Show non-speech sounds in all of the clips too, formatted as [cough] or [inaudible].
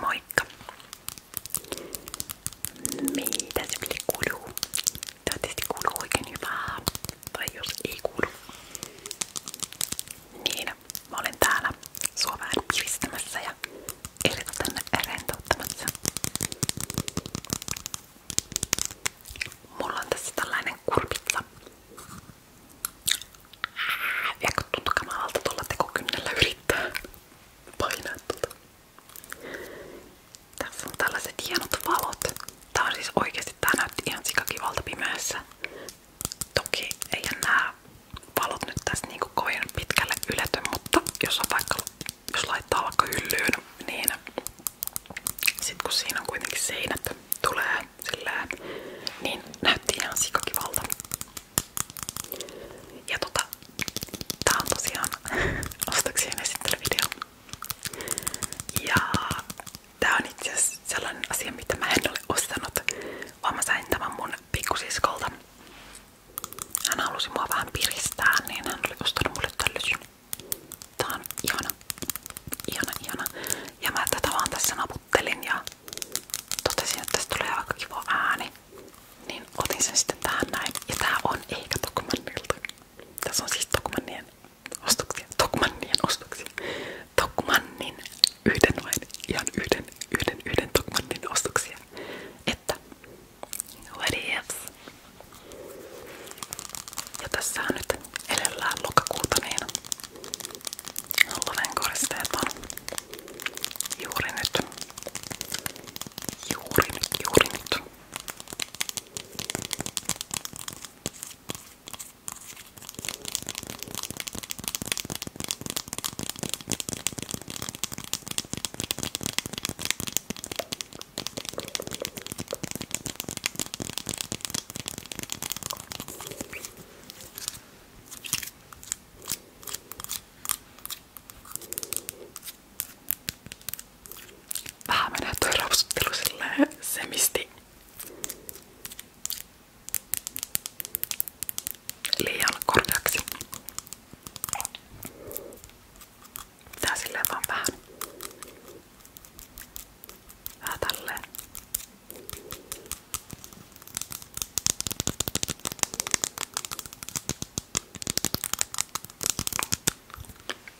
Moikka! Mitä sille kuuluu? Toivottavasti kuuluu oikein hyvää. Tai jos ei kuulu. Niin, mä olen täällä sua vähän piristämässä ja eritoten rentouttamassa. Mulla on tässä tällainen kurpitsa. Ja kun tuntuu kamalalta tuolla tekokynnellä yrittää painaa tuota. Tässä on tällaiset hienot valot. Tää on siis oikeesti, tää näytti ihan sikakivalta pimeässä. Toki eihän nää valot nyt tässä niinku kovin pitkälle ylety, mutta jos on vaikka jos laittaa vaikka hyllyyn, niin sit kun siinä on kuitenkin seinät tulee sillä niin näytti ihan sikakivalta. Ja tota, tää on tosiaan [laughs] ostoksien esittelyvideo. Ja tää on itse asiassa sellainen asia, mitä mä en ole ostanut, vaan mä sain tämän mun pikkusiskolta. Hän halusi mua vähän piristää, niin hän oli ostanut mulle tällaisen. Tää on ihana, ihana, ihana. Ja mä tätä vaan tässä naputtelin ja totesin, että tästä tulee aika kiva ääni. Niin otin sen sitten tähän näin. Ja tää on ehkä Tokmannilta. Tässä on siis Tokmannien ostoksia. Tokmannien ostoksia. Tokmannin yhden vain. Ihan yhden, yhden, yhden Tokmannin ostoksia. Että What ifs? Ja tässä on nyt edellään lokakuuta, niin luven koristeet on juuri nyt. Juuri nyt, juuri nyt. Vähän menee toi rapsuttelu silleen semisti liian korkeaksi. Tää silleen vaan vähän. Vähän tälleen.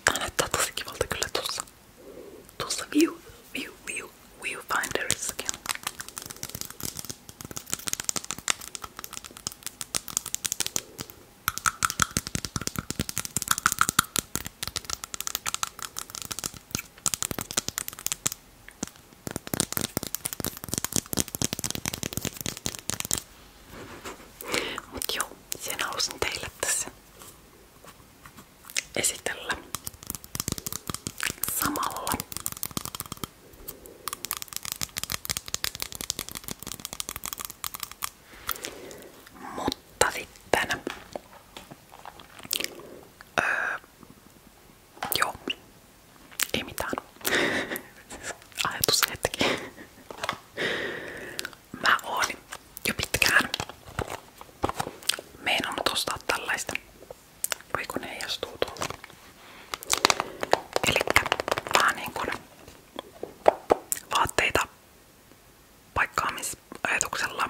Tää näyttää tosi kivalta kyllä tuossa. Tuossa view, view, view, viewfinderissakin. Mut joo, sen halusin teille tässä esitellä samalla mutta sitten... Öö, joo. Ei mitään. [laughs] Ajatus hetki. Mä oon jo pitkään meinannut ostaa tällaista. Voi kun heijastuu tuolla. Elikkä vähän niin kuin vaatteita paikkaamisajatuksella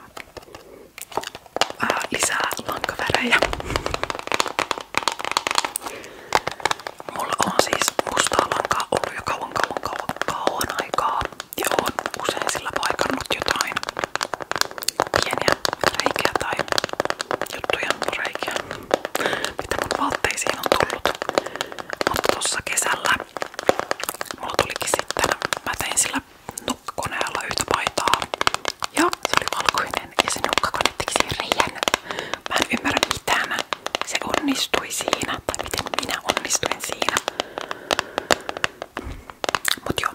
ää, lisää lankavärejä. Mulla on siis mustaa lankaa ollut jo kauan kauan kauan kauan aikaa ja on usein sillä paikannut jotain pieniä reikiä tai juttuja reikiä, mitä mun vaatteisiin on tullut. Mutta tuossa kesällä mulla tulikin sitten, mä tein sillä nukkoneella yhtä paitaa ja se oli valkoinen ja se nukkakone teki siihen reijän. Mä en ymmärrä mitään. Se onnistui siinä, tai miten minä onnistuin siinä. Mut joo,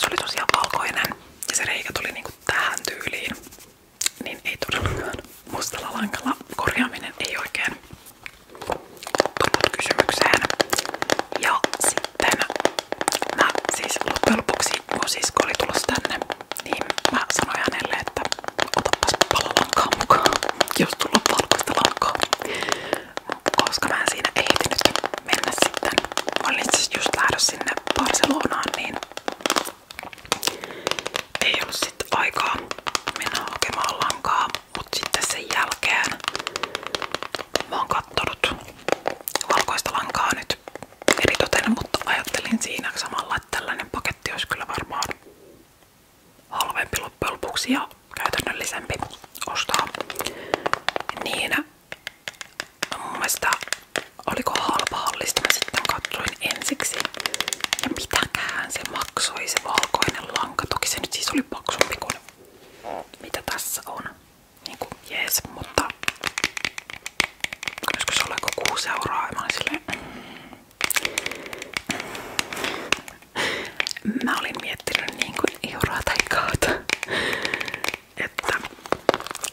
se oli tosiaan valkoinen ja se reikä tuli niinku tähän tyyliin niin ei todellakaan mustalla lankalla korjaaminen ei oikein tullut kysymykseen. Ja sitten mä siis loppujen lopuksi, kun sisko oli tulossa tänne, niin mä sanoin hänelle, että otapas palolankaa mukaan, jos tulla valkoista lankaa. Koska mä en siinä ehtinyt mennä sitten. Mä olin siis just lähdössä sinne Barcelonaan, niin ei ollut sitten aikaa mennä hakemaan sitten sen jälkeen mä oon nyt eritoten, mutta ajattelin siinä samalla, että paketti olisi varmaan halvempi loppujen lopuksi ja ostaa. Niin mun oliko halpa hallista, mä sitten katsoin ensiksi. Ja mitäkään se maksoi se valkoinen lanka. Toki se nyt siis oli paksumpi kuin mitä tässä on. Niinku jees, mutta olisiko se ollut joku 6 euroa ja mä olin silleen, mm. Mä olin miettinyt niin kuin euroa tai kautta, että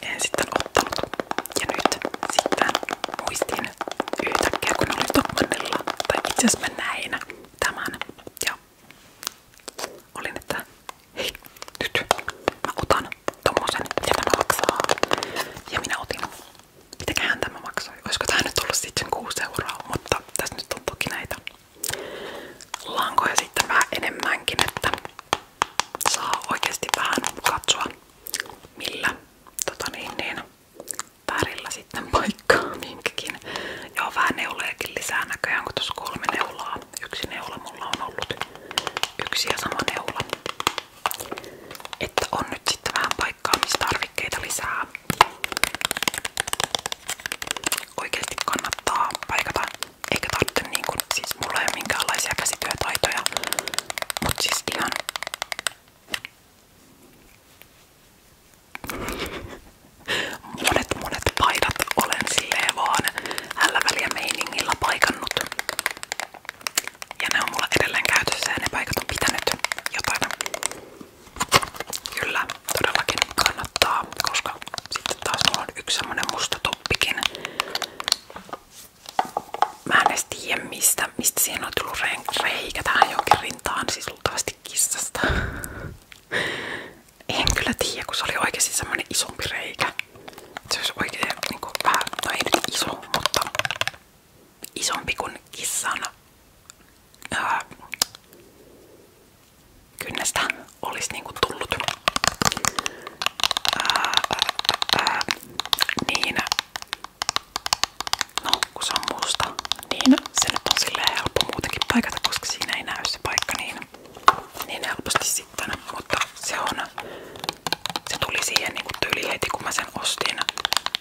en sitten ottanut. Ja nyt sitten muistin yhtäkkiä, kun olin Stockmannilla, tai tämän ja olin, että hei, nyt mä otan tommosen, mitä maksaa. Ja minä otin. Mitäköhän tämä maksoi? Olisiko tää nyt ollut sitten euroa, mutta tässä nyt on toki näitä lankoja sitten vähän enemmänkin, että saa oikeasti vähän katsoa millä tota niin, niin, värillä sitten paikkaa minkäkin. Joo, vähän neuleekin lisää näköjään, kun kolme neulaa. Yksi neula on ollut. Yksi ja sama neula. Että on nyt sitten vähän paikkaa, missä tarvikkeita Oikeasti kannattaa paikata. Eikä tarvitse niin kuin, siis mulla ei ole minkäänlaisia käsityötaitoja. Mut siis ihan Monet monet paidat olen silleen vaan hällä väliä meiningillä paikannut. Ja ne on mulla edelleen käytössä ja ne paikat on pitänyt jotain. Kyllä, todellakin kannattaa, koska sitten taas mulla on yksi semmonen musta toppikin. Mä en edes tiedä mistä, mistä siinä on tullut reikä tähän jonkin rintaan, siis luultavasti kissasta. En kyllä tiedä, kun se oli oikeasti semmonen isompi reikä. Se olisi oikein niinku vähän, no ei nyt iso, mutta isompi kuin kissan ää, kynnestä olisi kuin niinku tullut. Ää, ää, ää, niin No, kun se on musta, niin se nyt on silleen helppo muutenkin paikata, koska siinä ei näy se paikka niin, niin helposti sitten. Mutta se on, se tuli siihen niin tyyli heti kun mä sen ostin.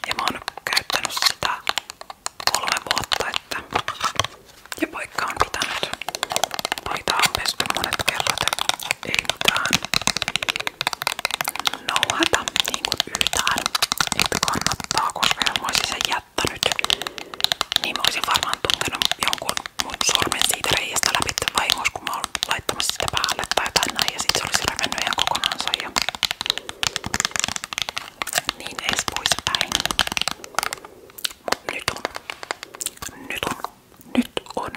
Ja mä oon käyttänyt sitä kolme vuotta, että ja paikka on pitänyt. Paitaa on pesty monet kerrat, ei mitään nouhata niinku yhtään, että kannattaa, koska jos mä olisin sen jättänyt, niin mä olisin varmaan tuntenut jonkun mun sormen siitä reiästä läpi vahingossa, kun mä olin laittamassa sitä päälle tai jotain näin, ja sit se olisi revennyt ihan kokonaansa ja niin edes poispäin. Mut nyt on, nyt on, nyt on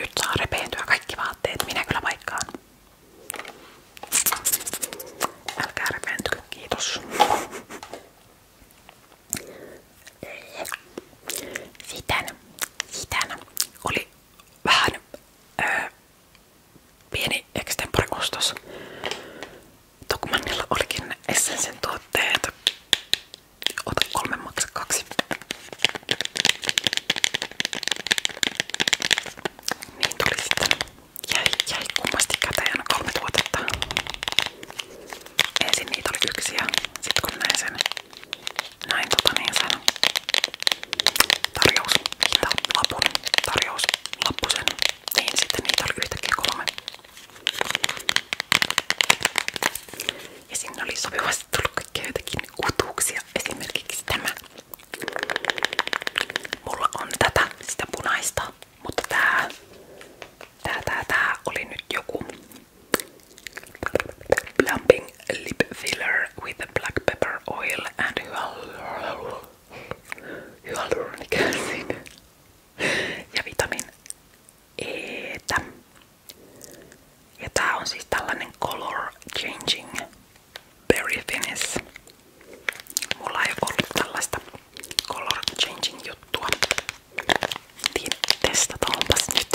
nyt saa repeentyä kaikki vaatteet, minä kyllä paikkaan. Älkää repeentykö, kiitos. Sitten, sitten oli vähän öö, pieni extempore-ostos. Tokmanilla olikin Essensen tuotteet. Ota kolme, maksa kaksi. Niin tuli sitten. Jäi, jäi kummasti käteen kolme tuotetta. Ensin niitä oli yksi sitten kun näin sen, näin tota niin sen tarjous, lapun tarjous, lappusen, niin sitten niitä oli kolme. Ja sinne oli sopivasti tullut kaikkea jotakin uutuuksia. Esimerkiksi tämä. Mulla on tätä, sitä punaista, mutta tää, tää, tää, tää oli nyt joku Plumping Lip Filler with Black Pepper Oil and Hyaluronic Acid ja vitamin E. -tä. Ja tää on siis tällainen color changing berry finish. Mulla ei ollut tällaista color changing juttua. Niin testataanpas nyt.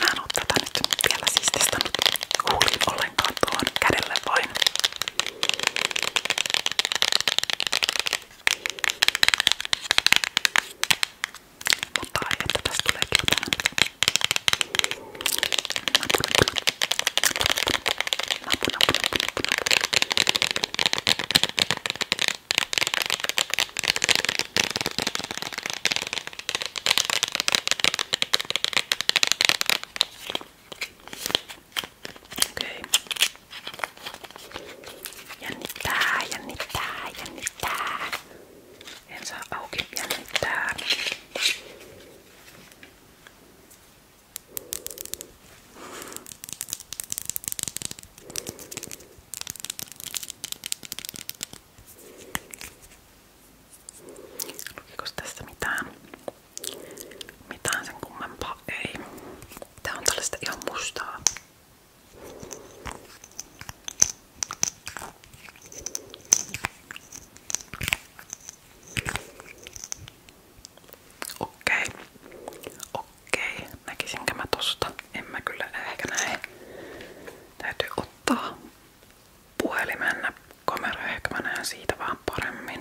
Mä en oo tätä nyt vielä siis testannut huulin ollenkaan tuon kädelle vain. Mutta ai että tästä tulee jotain. Napu, napu, napu, napu, napu, napu, napu. Okei. Jännittää, jännittää, jännittää. En saa auki jännittää. Lukikos tästä mitään? Mitään sen kummempaa ei. Tää on tällaista ihan mustaa. Okei. Okei. Näkisinkö mä tosta? En mä kyllä ehkä näe. Täytyy ottaa puhelimen kamera. Ehkä mä näen siitä vähän paremmin.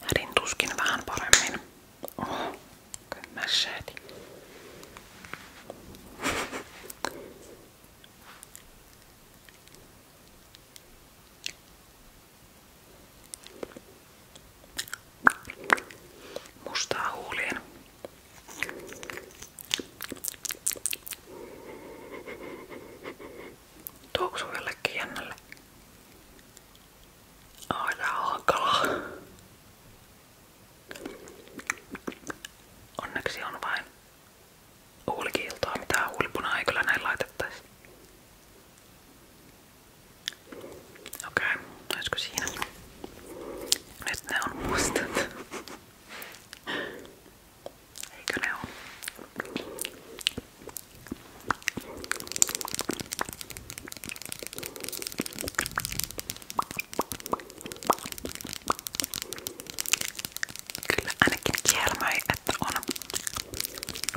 Hädin tuskin vähän paremmin. Ó, com machado. Mustaa huuliin. Tuoksu jollekin jännälle. Aina hankalaa. Onneksi on vain huulikiiltoa, mitä huulipuna ei kyllä näin laitettaisi. Okei, okay, olisiko siinä? Nyt ne on mustat. Eikö ne oo? Kyllä ainakin kielmöi, että on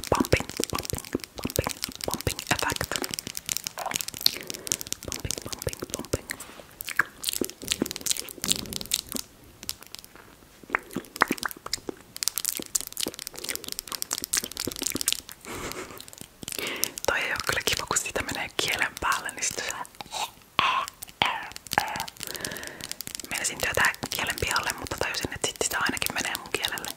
pumping, pumping, pumping, pumping effect. Pumping, pumping, pumping. Toi ei oo kyllä kiva, kun siitä menee kielen päälle, niin sit sä... Meinasin työtää kielen pihalle, mutta tajusin, että sit sitä ainakin menee mun kielelle.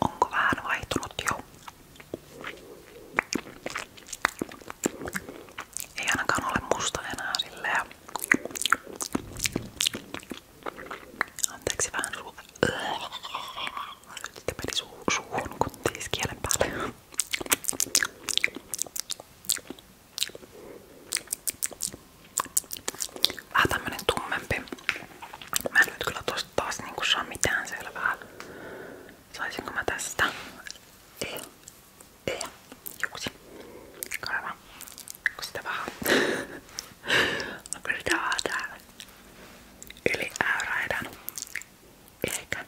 Onko vähän vaihtunut jo? Ei ainakaan ole musta enää silleen Anteeksi vähän suu. suu, kun tiis kielen päälle. Vähän tämmönen tummempi. Mä en nyt kyllä tosta taas niinku saa mitään selvää. Ei. Ei. Juksi. Kaiva. Onko sitä vähän? Onko sitä vaan täällä? Yli äyräidän. Ehkä.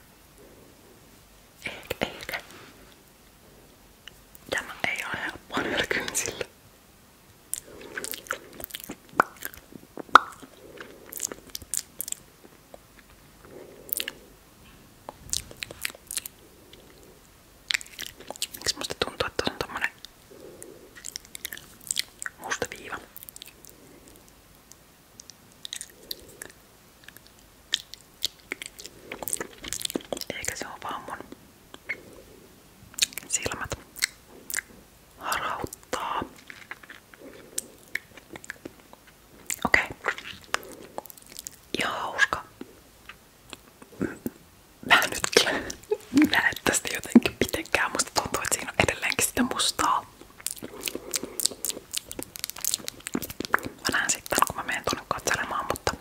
Ehkä, ehkä. Tämä ei ole helppoa näillä kynsillä. Miksi musta tuntuu, että on tommonen musta viiva. Eikä se ole vaan mun silmät harauttaa. Okei. Okay. Ihan hauska mä nyt näe tästä jotenkin mitenkään. Musta tuntuu, että siinä on edelleenkin sitä mustaa. Mä näen sitten, kun mä menen tuonne katselemaan, mutta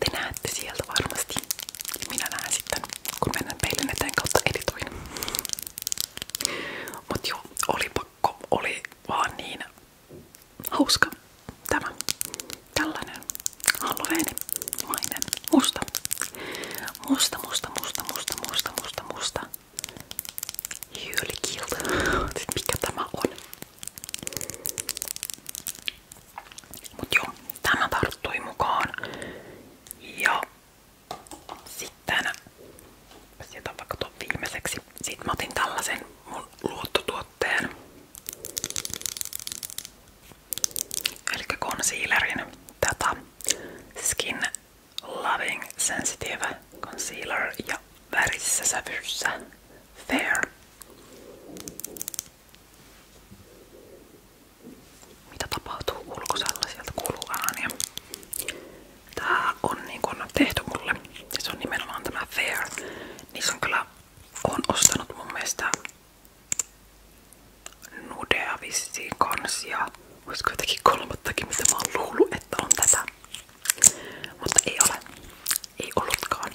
te näette sieltä varmasti. Minä näen sitten, kun menen peilin eteen kautta editoin. Mut joo, oli pakko, oli vaan niin hauska tämä, tällainen alueenimainen musta. Musta, musta, musta, musta, musta, musta, musta. Hyylikilta. [laughs] Siis mikä tämä on? Mut joo, tämä tarttui mukaan. Ja sitten jätän vaikka tuon viimeiseksi. Sitten mä otin tällaisen mun luottotuotteen eli concealerin tätä Skin Loving Sensitive Concealer ja värissä sävyssä Fair. Mitä tapahtuu ulkosalla? Sieltä kuuluu ääniä. Tää on niin kun tehty mulle. Se on nimenomaan tämä Fair. Niissä on kyllä on ostanut mun mielestä Nudea vissiin kans ja olisiko jotakin kolmattakin mitä mä oon luullut, että on tätä. Mutta ei ole. Ei ollutkaan.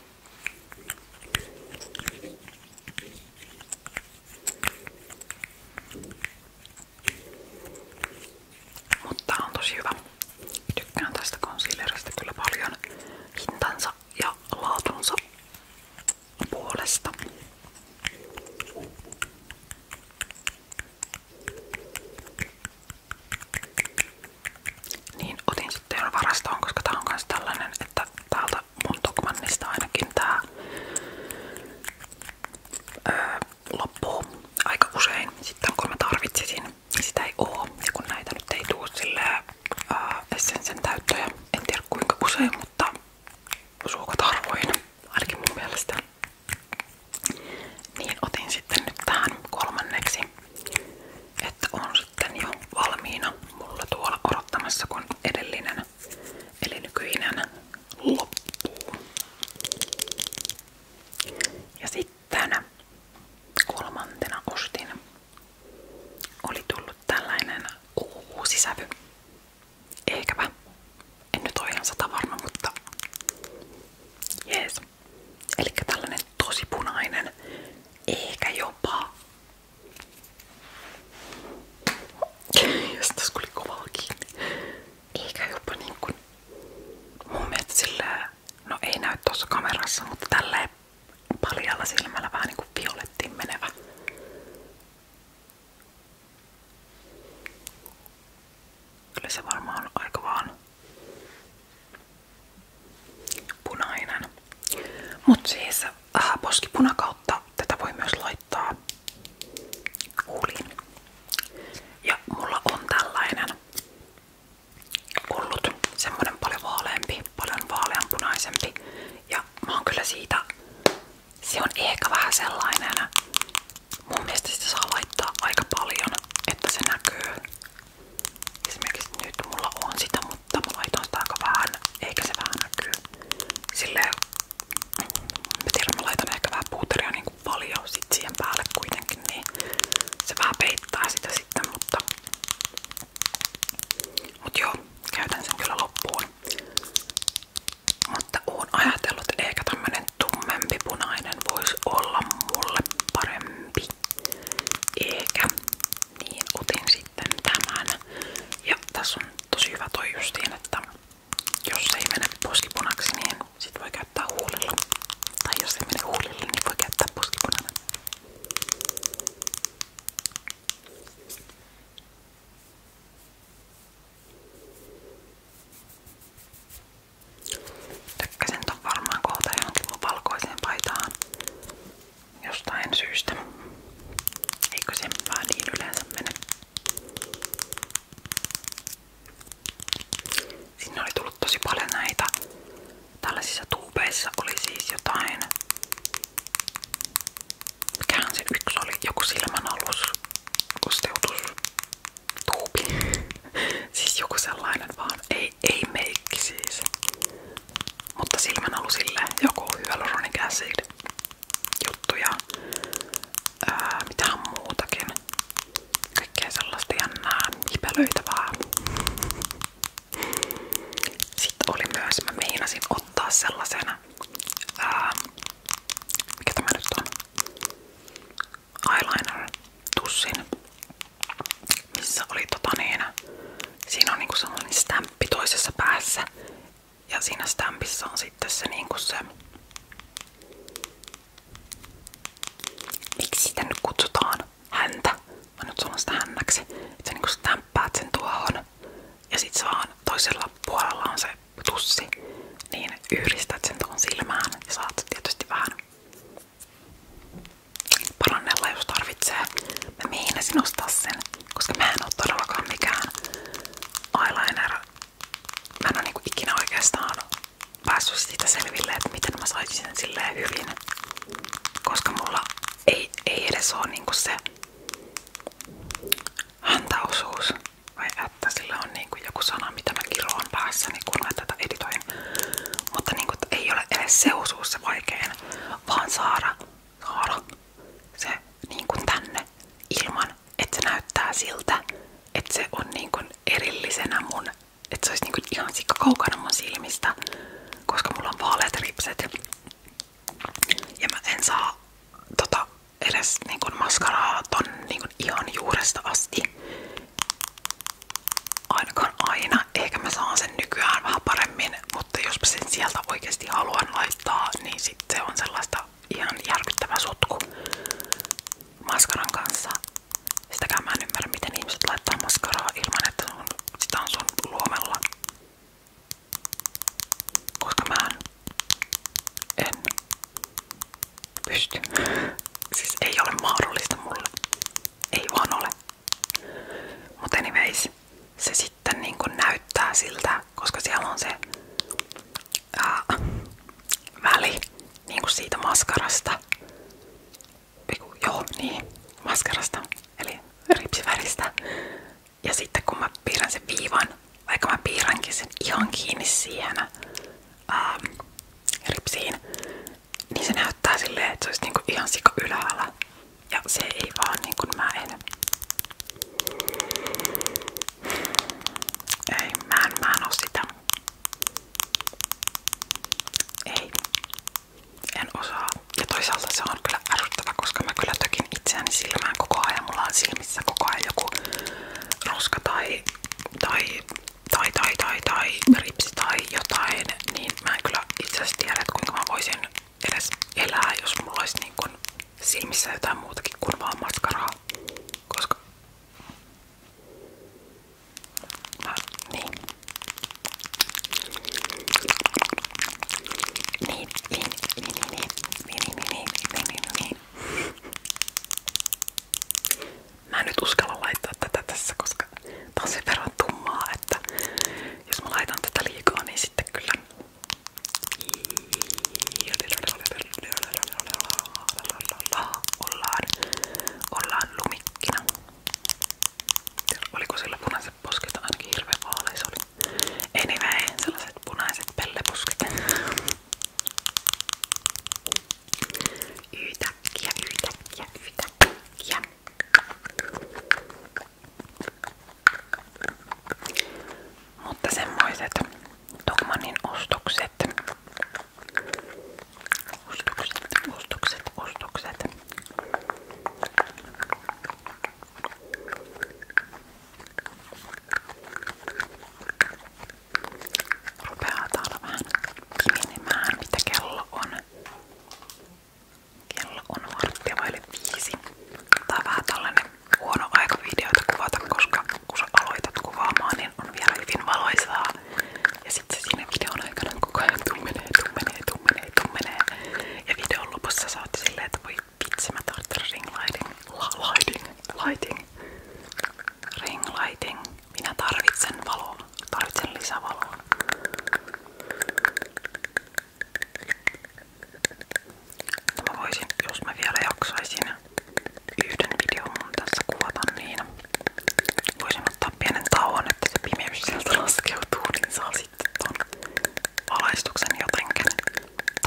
Mutta on tosi hyvä. tästä concealerista kyllä paljon hintansa ja laatunsa puolesta. Niin otin sitten varastoon, koska tää on myös että täältä mun Tokmannista ainakin tää aika usein. Sitten kun mä tarvitsisin, niin sitä ei oo. kun näitä nyt ei tuu silleen Essensen täyttöjä, en mutta suokat arvoihin, ainakin mun mielestä. Niin otin sitten nyt tähän kolmanneksi, että on sitten jo valmiina mulla tuolla odottamassa kun edellinen, eli nykyinen loppuu. Ja sitten kolmantena ostin oli tullut tällainen uusi sävy. Ehkäpä. En nyt ole ihan sata varma, mutta jees. Eli tällainen tosi punainen, ehkä jopa. Jos tässä oli kovaa kiinni. Eikä jopa niin kuin mun mielestä sillä, no ei näy tuossa kamerassa, mutta tälleen paljalla silmällä vähän niinku violettiin menevä. Kyllä se varmaan on aika vaan punainen. Mut siis äh, poskipuna kautta tätä voi myös laittaa huuliin. Ja mulla on tällainen ollut semmonen paljon vaaleampi, paljon vaaleanpunaisempi. Ja mä oon kyllä siitä se on ehkä vähän sellainen, mun mielestä sitä saa laittaa aika paljon, että se näkyy. Esimerkiksi nyt mulla on sitä, mutta mä laitan sitä aika vähän, eikä se vähän näkyy. Silleen, mä tiedän, mä laitan ehkä vähän puuteria niin kuin paljon sit siihen päälle kuitenkin, niin se vähän peittää sitä sitten, mutta Mut joo, käytän sen kyllä loppuun. Mutta oon ajatellut, että ehkä tämmönen tummempi punainen voisi olla mulle parempi. Eikä. Niin otin sitten tämän. Ja tässä on tosi hyvä toi justiin, että jos ei mene poskipunaksi, niin sit voi käyttää huulilla. Tai jos ei mene huulilla, niin voi käyttää poskipunana. Tykkäsin ton varmaan kohta johonkin valkoiseen paitaan jostain syystä. Eikö sen vaan niin yleensä mene? Sinne oli tullut tosi paljon näitä. Tällaisissa tuubeissa oli siis jotain Mikähän yksi oli? Joku silmänalus, kosteutus, [laughs] siis joku sellainen vaan. Ei, ei meikki siis. Mutta silmänalusille joku hyaluronin käsid juttuja. Ää, mitähän muutakin. Kaikkea sellaista jännää, hipelöitävää. Sitten oli myös, mä meinasin ottaa sellaisen Ähm, mikä tämä on, eyeliner-tussin, missä oli tota niin, siinä on niinku sellainen stämppi toisessa päässä ja siinä stämpissä on sitten se niinku se, miksi sitä nyt kutsutaan, häntä, mä nyt sanon sitä hännäksi, että sä niinku stämppäät sen tuohon ja sit sä vaan toisella puolella on se tussi, niin yhdistät sen tuohon silmään ja saat tietysti vähän parannella, jos tarvitsee. Mä meinasin ostaa sen, koska mä en oo todellakaan mikään eyeliner. Mä en oo niinku ikinä oikeastaan päässyt siitä selville, että miten mä saisin sen silleen hyvin, koska mulla ei, ei edes oo niinku se Hantaosuus vai että sillä on niinku joku sana, mitä mä kiroon päässäni, niin kun mä tätä editoin. Mutta niinku, ei ole edes se osuus se vaikein, vaan saada, saada se niinku tänne ilman, että se näyttää siltä, että se on niinku erillisenä mun, että se olisi niinku ihan sikka kaukana mun silmistä, koska mulla on vaaleat ripset. Ja mä en saa tota edes niinku maskaraa ton niinku ihan juuresta asti. Ainakaan aina. Ehkä mä saan sen nykyään vähän paremmin, mutta jos mä sen sieltä oikeasti haluan laittaa, niin sit se on sellaista ihan järkyttävä sotku maskaran kanssa. Sitäkään mä en ymmärrä, miten ihmiset laittaa maskaraa ilman, että sun, sitä on sun luomella koska mä en pysty. Siis ei ole mahdollista mulle. Ei vaan ole. Mutta anyways, se sitten niin näyttää siltä, koska siellä on se ää, väli niin siitä maskarasta. Eiku, joo, niin, maskarasta, eli ripsiväristä ja sitten kun mä piirrän sen viivan, vaikka mä piirränkin sen ihan kiinni siihen ää, ähm, ripsiin, niin se näyttää silleen, että se olisi niinku ihan sika ylhäällä. Ja se ei vaan niin kuin mä en. Ei, mä en, mä en oo sitä. Ei. En osaa. Ja toisaalta se on on kyllä ärsyttävä, koska mä kyllä tökin itseäni silmään koko ajan. Mulla on silmissä koko ajan joku roska tai, tai, tai, tai, tai, tai ripsi tai jotain. Niin mä en kyllä itse asiassa tiedä, että kuinka mä voisin edes elää, jos mulla olisi niin kun silmissä jotain muutakin kuin vaan maskaraa. Koska... Mä, Niin, niin, niin, niin, niin. niin. Mä nyt uskalla laittaa tässä, koska tää on sen verran tummaa, että jos mä laitan tätä liikaa, niin sitten kyllä... Ollaan, ollaan lumikkina. Oliko sillä punaisen pelleposket ainakin hirveän vaaleis oli. Anyway, sellaiset punaiset pelleposket. Yhtäkkiä, yhtäkkiä, yhtäkkiä. Mutta semmoiset Dogmanin ostokset. Ostokset, ostokset, ostokset. Rupeaa täällä vähän kimenemään, mitä kello on. Kello on varttia viisi. Tää on vähän tällainen huono koska kun sä aloitat kuvaamaan, niin on vielä valoisaa. Ja sitten siinä videon aikana koko ajan tummenee, tummenee, tummenee, tummenee. Ja videon lopussa sä oot silleen, että voi Vitsi mä lighting. lighting. Lighting. lighting. Minä tarvitsen valoa. Tarvitsen lisävaloa. No mä voisin, jos mä vielä jaksaisin yhden videon mun tässä niin voisin ottaa pienen tauon, että se laskeutuu, niin saa sitten ton valaistuksen jotenkin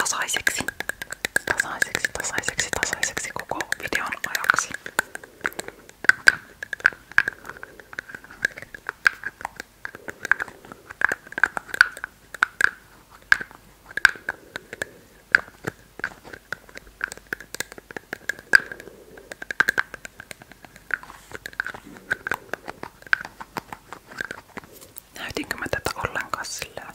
tasaiseksi, tasaiseksi, tasaiseksi, tasaiseksi koko videon ajaksi. Näytinkö mä tätä ollenkaan sillä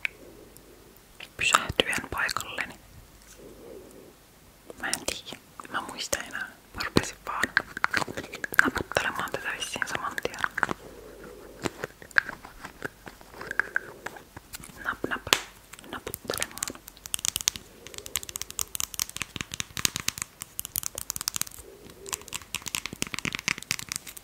pysähtyen paikalleni? Niin mä en tiedä. Mä muista enää. Mä rupesin vaan naputtelemaan tätä vissiin saman tien. Nap nap. Naputtelemaan.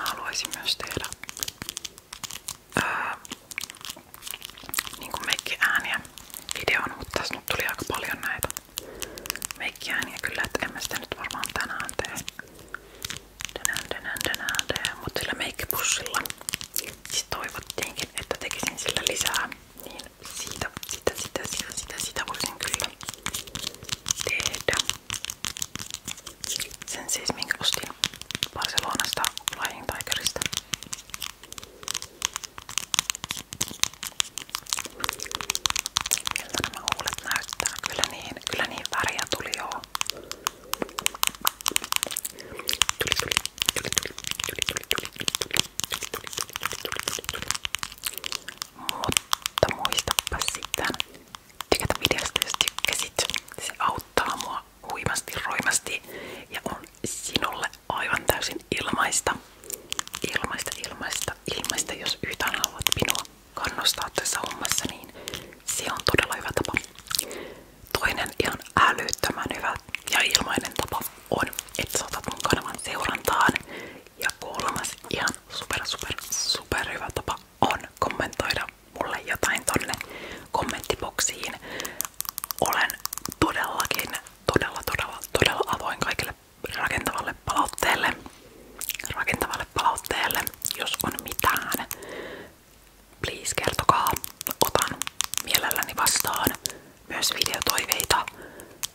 Mä haluaisin myös tehdä ää, niin kuin mekkiääniä videoon, mutta tässä nyt tuli aika paljon näitä vekään. Ja kyllä, että en mä sitä nyt varmaan tänään tee. Tänään, tänään, tänään tee. Mut sillä meikkipussilla siis toivottiinkin, että tekisin sillä lisää. Niin siitä, sitä, sitä, sitä, sitä, sitä voisin kyllä tehdä. Sen siis minkä ostin Barcelonasta Flying Tigerista. Kyllä niin, kyllä niin väriä tuli joo. Tuli, tuli, tuli, tuli, tuli, tuli, tuli, tuli, tuli, Se auttaa mua roimasti ja on sinulle aivan täysin ilmaista. Ilmaista, ilmaista, ilmaista. Jos yhtään haluat minua tässä hommassa, niin se on todella tapa. Toinen ihan älyttömän hyvä ja ilmainen tapa on, että sä otat mun kanavan seurantaan. Ja kolmas ihan super, super, super hyvä tapa on kommentoida mulle jotain tonne kommenttiboksiin. Olen todellakin todella, todella, todella avoin kaikille rakentavalle palautteelle. Rakentavalle palautteelle, jos on mitään. Please kertokaa, otan mielelläni vastaan myös videotoiveita,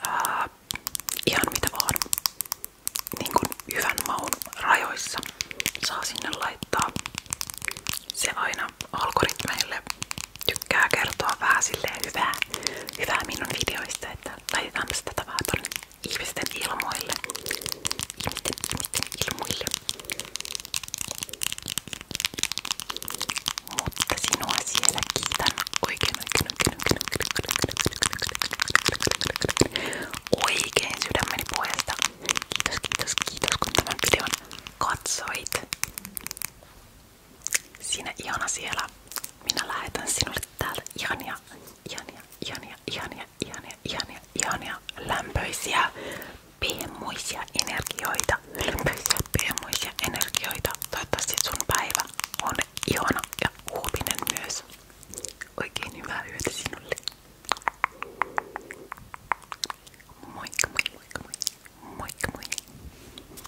ää, ihan mitä vaan, niin kuin hyvän rajoissa saa sinne laittaa. Se aina algoritmeille tykkää kertoa vähän silleen hyvää, hyvää minun videoista, että laitetaanpa sitä tavaa tonne ihmisten ilmoille. Ihmisten, ilmoille. Mutta sinua siellä kiitän oikein oikein oikein oikein oikein oikein sydämeni puolesta. Kiitos, kiitos, kiitos kun tämän videon katsoit. Sinä ihana siellä. Minä lähetän sinulle täältä ihania, ihania, ihania, ihania, ihania, ihania, ihania lämpöisiä, piemuisia energioita. Lämpöisiä, piemuisia energioita. Toivottavasti sun päivä on ihana ja uutinen myös. Oikein hyvää yötä sinulle. Moikka, moikka, moikka, moikka, moikka.